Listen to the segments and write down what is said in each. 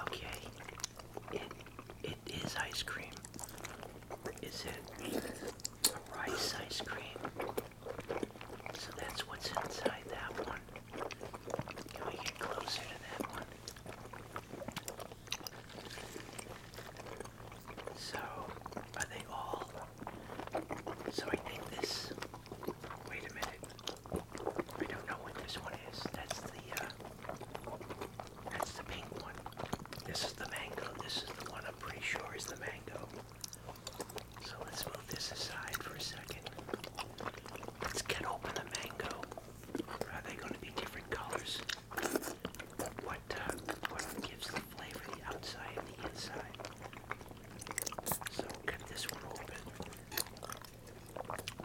okay, it it is ice cream. Is it rice ice cream? So that's what's inside that one. Can we get closer to that one? So, are they all so I think this. Wait a minute. I don't know what this one is. That's the. Uh, that's the pink one. This is the mango. This is the one I'm pretty sure is the mango. So let's move this aside for a second. Let's get open the mango. Are they going to be different colors? What uh, what gives the flavor the outside and the inside? So we this one open.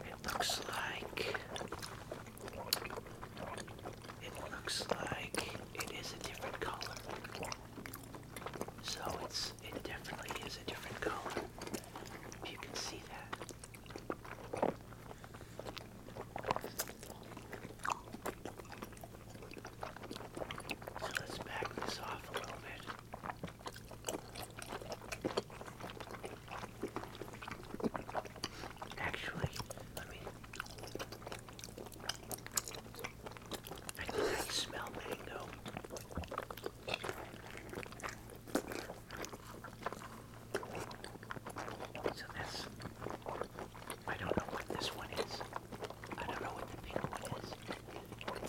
It looks like it looks like it is a different color. So it's it definitely is a different color. If you can see that. So let's back this off a little bit. Actually, let me. I think smell mango. So that's. I don't know what this one is. I don't know what the pink one is.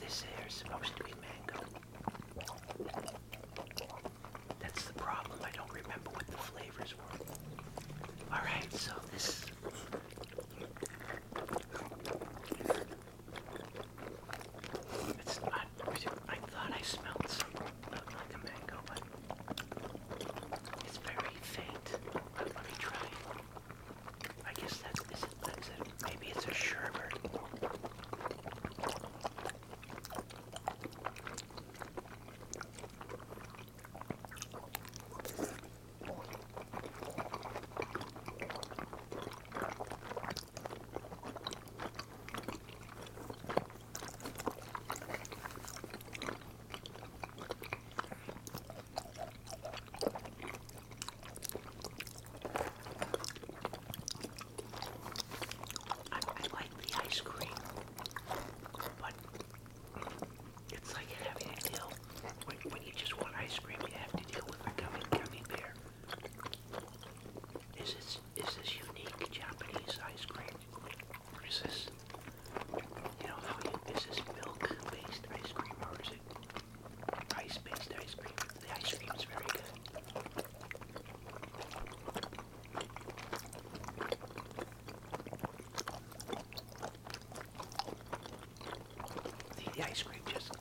This here is supposed to be mango. That's the problem. I don't remember what the flavors were. Alright, so this. It's not. I thought I smelled something like a mango, but it's very faint. But let me try I guess that's it, Maybe it's a sherbert. I, like the ice cream, but it's like having to deal when, you just want ice cream. You have to deal with a gummy bear. Is this is this unique Japanese ice cream? Or is this you know is this milk based ice cream or is ice-based ice cream. The ice cream is very good. The, ice cream just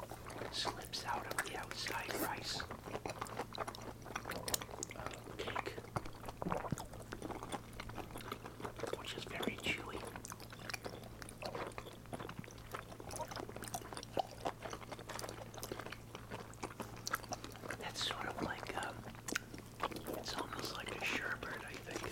slips out of the outside rice uh, cake, which is very chewy. That's sort of like, um, it's almost like a sherbet, I think.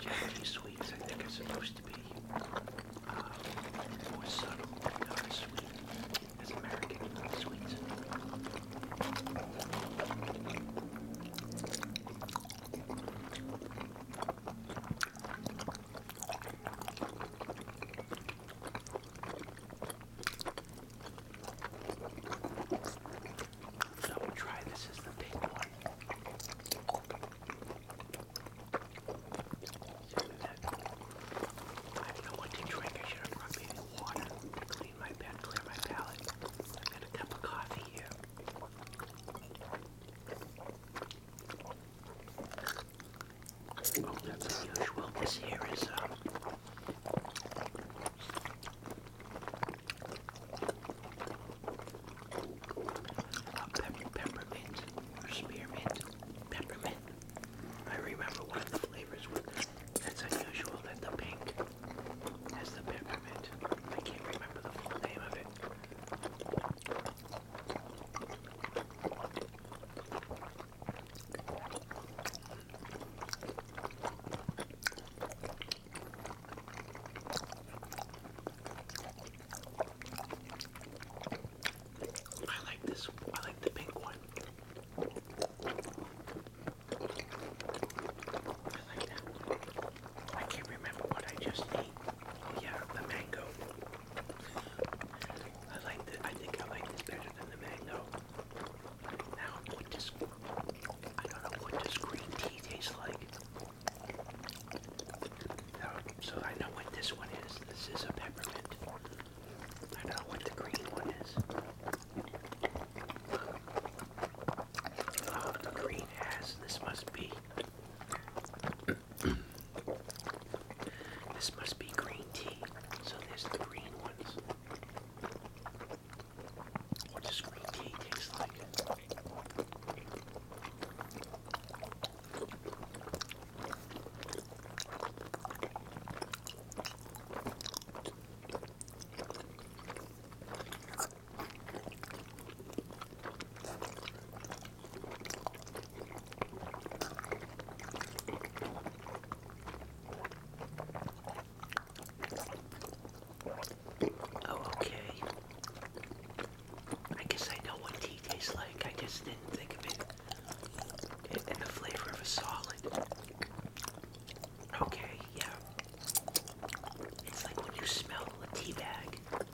Japanese sweets, I think, are supposed to be uh, more subtle, not as sweet as American sweets. So we'll try this as the pink one. I don't know what to drink. I should have brought maybe water to clean my bed, clear my palate. I got a cup of coffee here that's unusual. This here is um, peppermint spearmint. Peppermint. I remember one of the flavors was that's unusual that the pink has the peppermint. I can't remember the full name of it. I like this. I like the pink one. I like that. I can't remember what I just ate. Oh yeah, the mango. I like the, I think I like this better than the mango. Now, I know, what does green tea taste like? so I know what this one is. This is a peppermint. I know what the green one is. Oh, the green has, this must be This must be green tea. So there's the What does green tea taste like? Oh, okay. I guess I know what tea tastes like. I just didn't think of it in the flavor of a solid. Okay, yeah. It's like when you smell a tea bag. But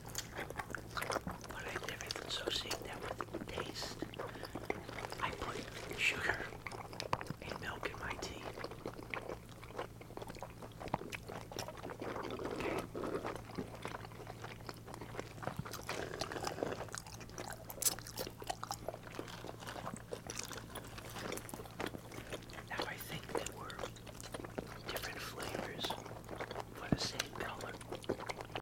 I've never that with taste. I put sugar and milk in my tea. Now I think there were different flavors for the same color.